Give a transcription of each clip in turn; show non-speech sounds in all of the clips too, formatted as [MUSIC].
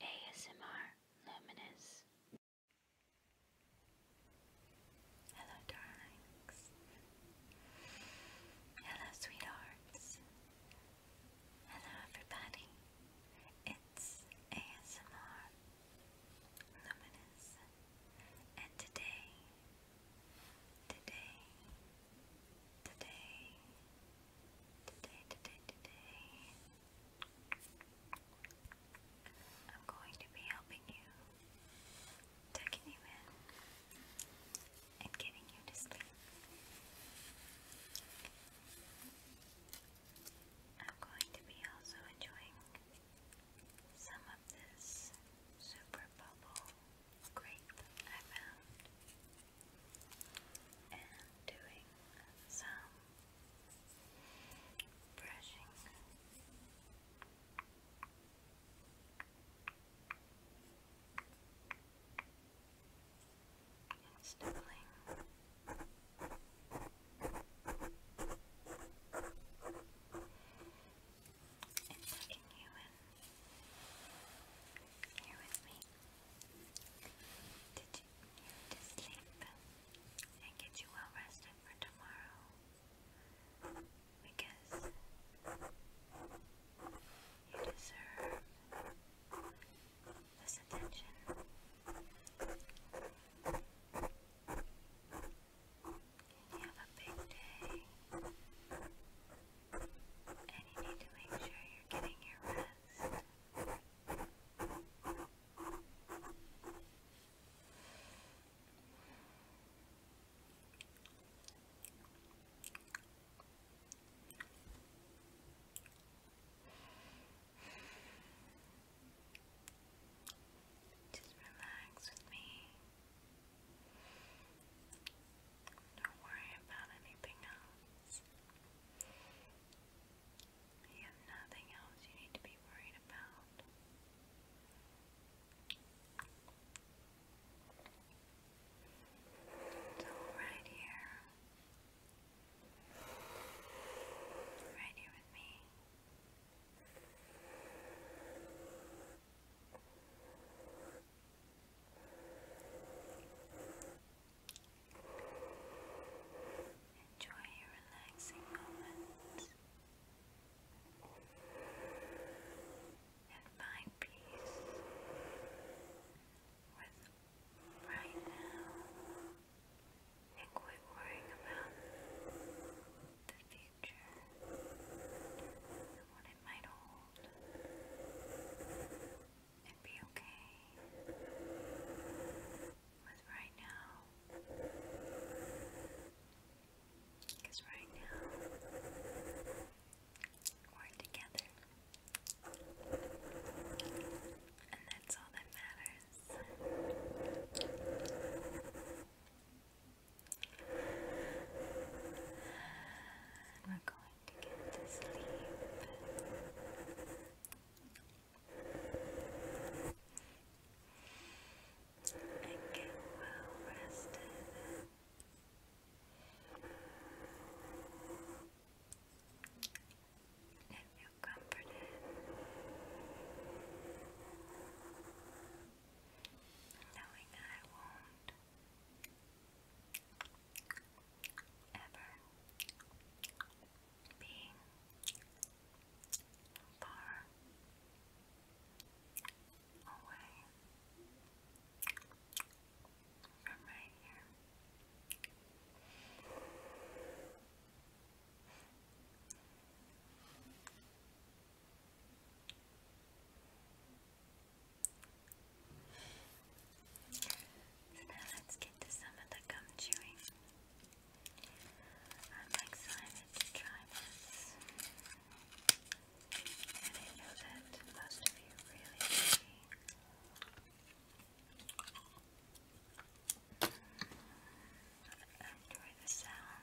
ASMR Luminous. Hello, darlings. Hello, sweethearts. Hello, everybody. It's ASMR Luminous. And today, today, today, Today, today, today, I'm going to be helping you, tucking you in, and getting you to sleep. I'm going to be also enjoying some of this super bubble grape I found and doing some brushing. And sniffling. And tucking you in here with me. Did you to sleep and get you well rested for tomorrow? Because you deserve this attention. you have a big day and you need to make sure you're getting your rest. Just relax with me. Don't worry about anything else else. You have nothing else you need to be worried about. It's all right here. Right here with me. Enjoy your relaxing moments and find peace with right now and quit worrying about the future and what it might hold and be okay with right now. Because right now, we're together. And that's all that matters. And we're going to sleep and get well rested. And feel comforted. Knowing I won't ever being far away from right here. Thank you. So now let's get to some of the gum chewing. I'm excited to I know that most of you really Enjoy the sound.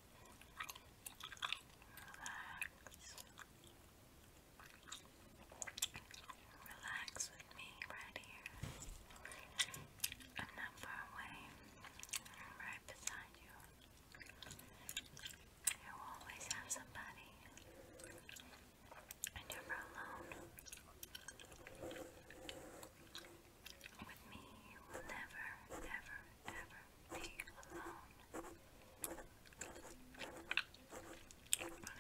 Relax with me right here. I'm not far away. I'm right beside you. You always have somebody. you're never alone. With me, you will never, never, ever be alone. But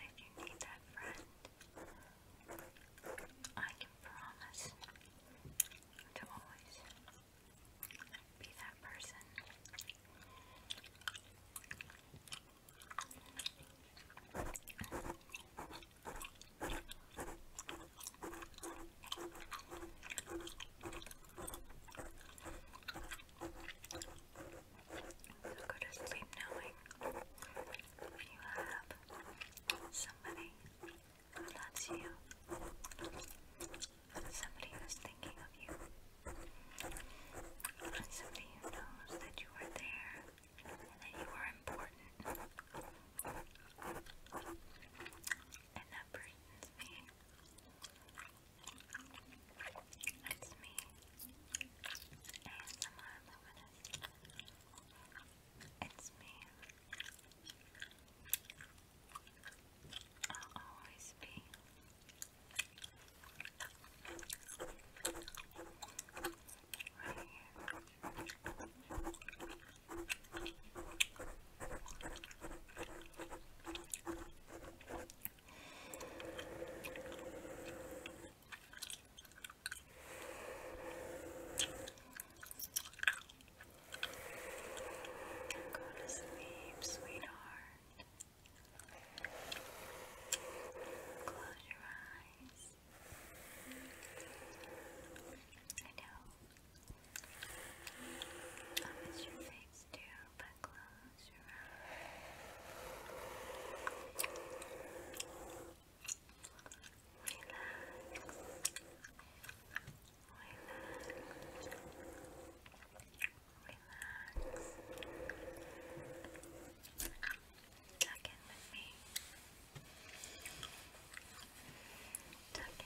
if you need that friend, I can promise to always be that person. So go to sleep knowing you have somebody who loves you, somebody who's thinking of you, somebody who knows that you are there and that you are important. And that person's being it's me, ASMR Luminous. It's me. I'll always be. Right here. Go to sleep, sweetheart. Close your eyes. I know I'll miss your face too, but close your eyes. Relax. Relax. Relax. Tuck in with me. Tuck in.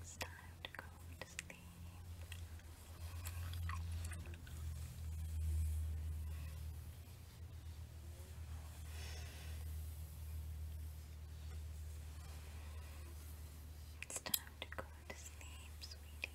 It's time to go to sleep. It's time to go to sleep, sweetie.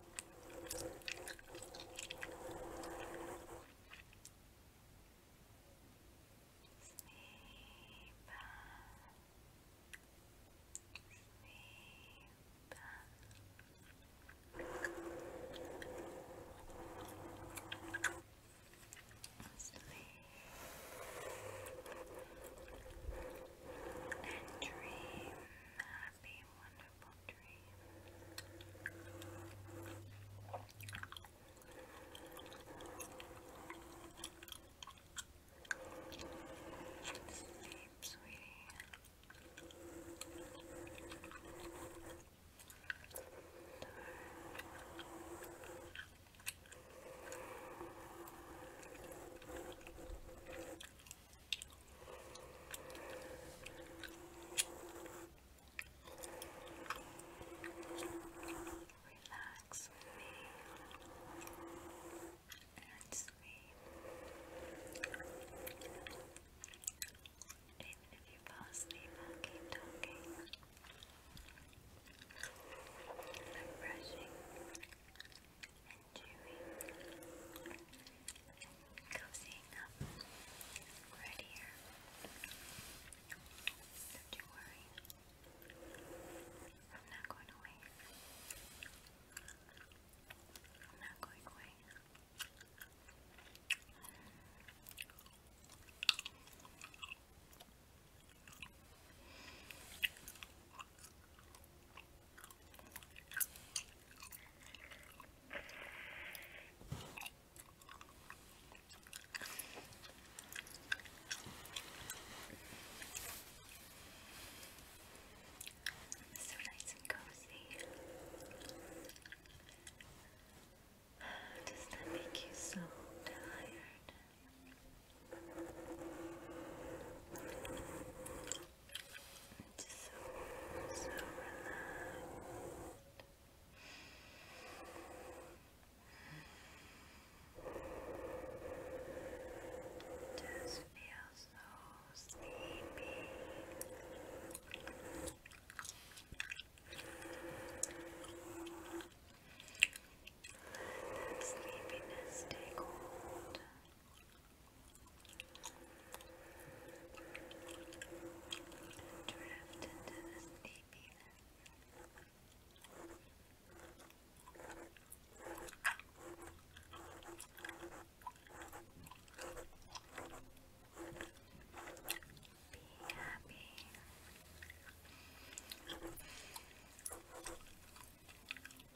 and dream happy, wonderful dream. Sleep, sweetie. Relax with me and sleep. Even if you fall asleep, I'll keep talking. I'm brushing and doing? Cozying up right here. Don't you worry. I'm not going away. I'm not going away. It's so nice and cozy. [SIGHS] Does that make you so tired? Just so, so relaxed. Just feel so sleepy. that sleepiness take hold. Drifted to the sleepiness. Be happy. Be happy.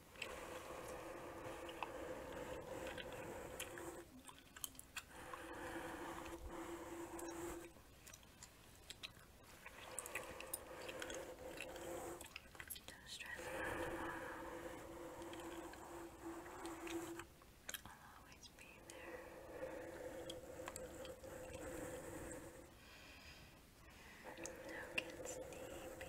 Don't stress about tomorrow. I'll always be there. Don't get sleepy.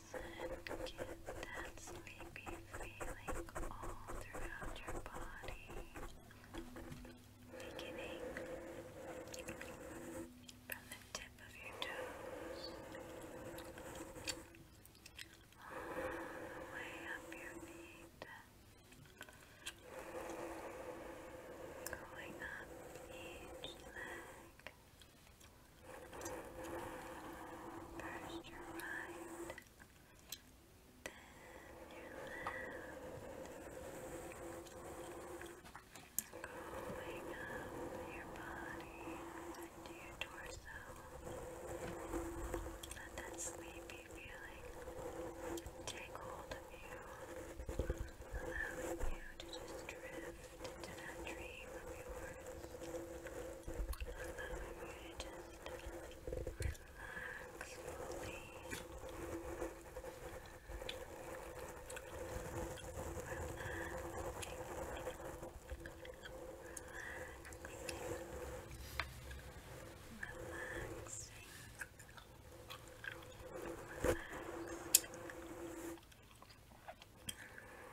And Get that sleepy feeling all throughout your body. Beginning from the tip of your toes all the way up your feet. Going up each leg. First your right, then your left. Going up your body into your torso. Let that sleepy feeling take hold of you, allowing you to just drift to that dream of yours. Allow you just relax fully. Relaxing. Relaxing. Relaxing. Relaxing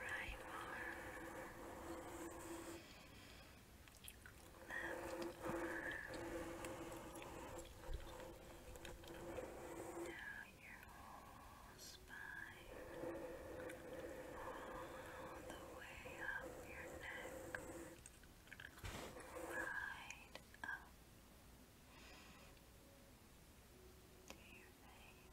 right arm, left arm, down your whole spine, all the way up your neck, right up to your face, through your face,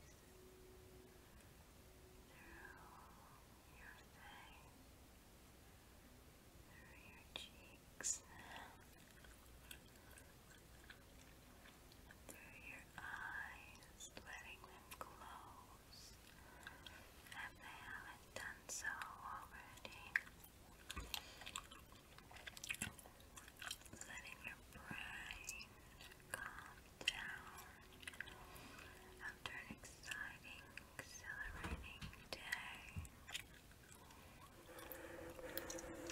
through your cheeks, through your eyes, letting them close if they haven't done so already letting your brain calm down after an exciting, exhilarating day,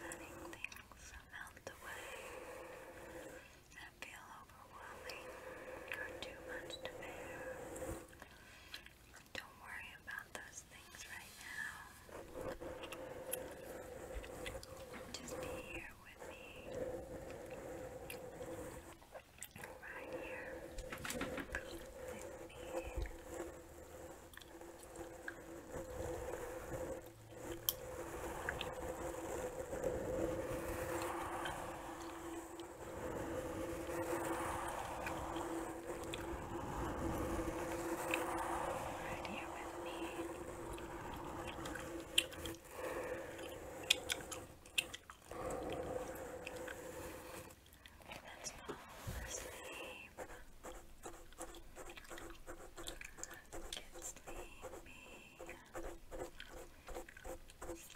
letting things melt away that feel overwhelming or too much to bear. Don't worry about those those things right now. Just be here with me. Right here with me. Right here and that's all the sleep. Get sleepy. Sleepy. Sleepy.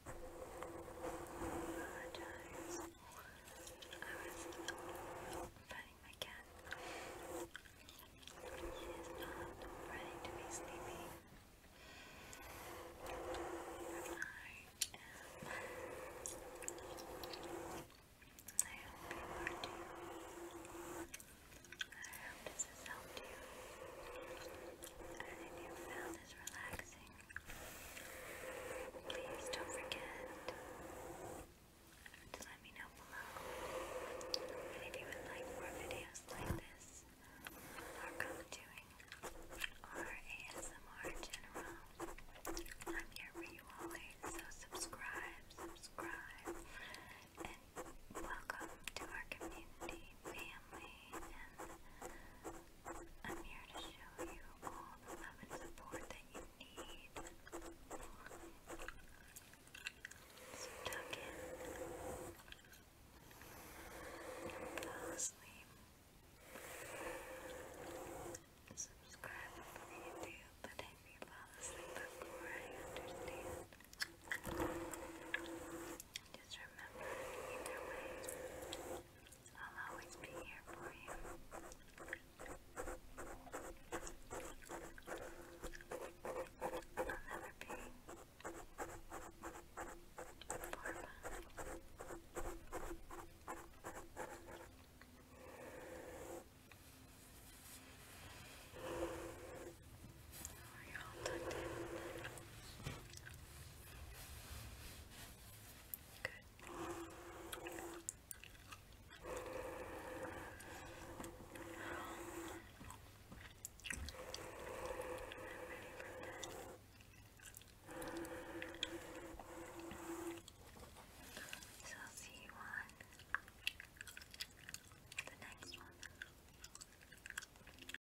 apologize. I was petting my cat. is not ready to be sleepy. I am. I hope you are I hope this helped you. And if you found this relaxing Please don't forget to let me know below if you would like more videos like this or contouring or ASMR general. I'm here for you always, so subscribe, subscribe, and welcome to our community, family, I'm here to show you all the love and support that you need. So tuck in and fall asleep. Subscribe on YouTube, but if you fall asleep before, I understand. Just remember, either way, I'll always be here for you. I'll never be far Oh, you all tucked so I'll see you on the next one.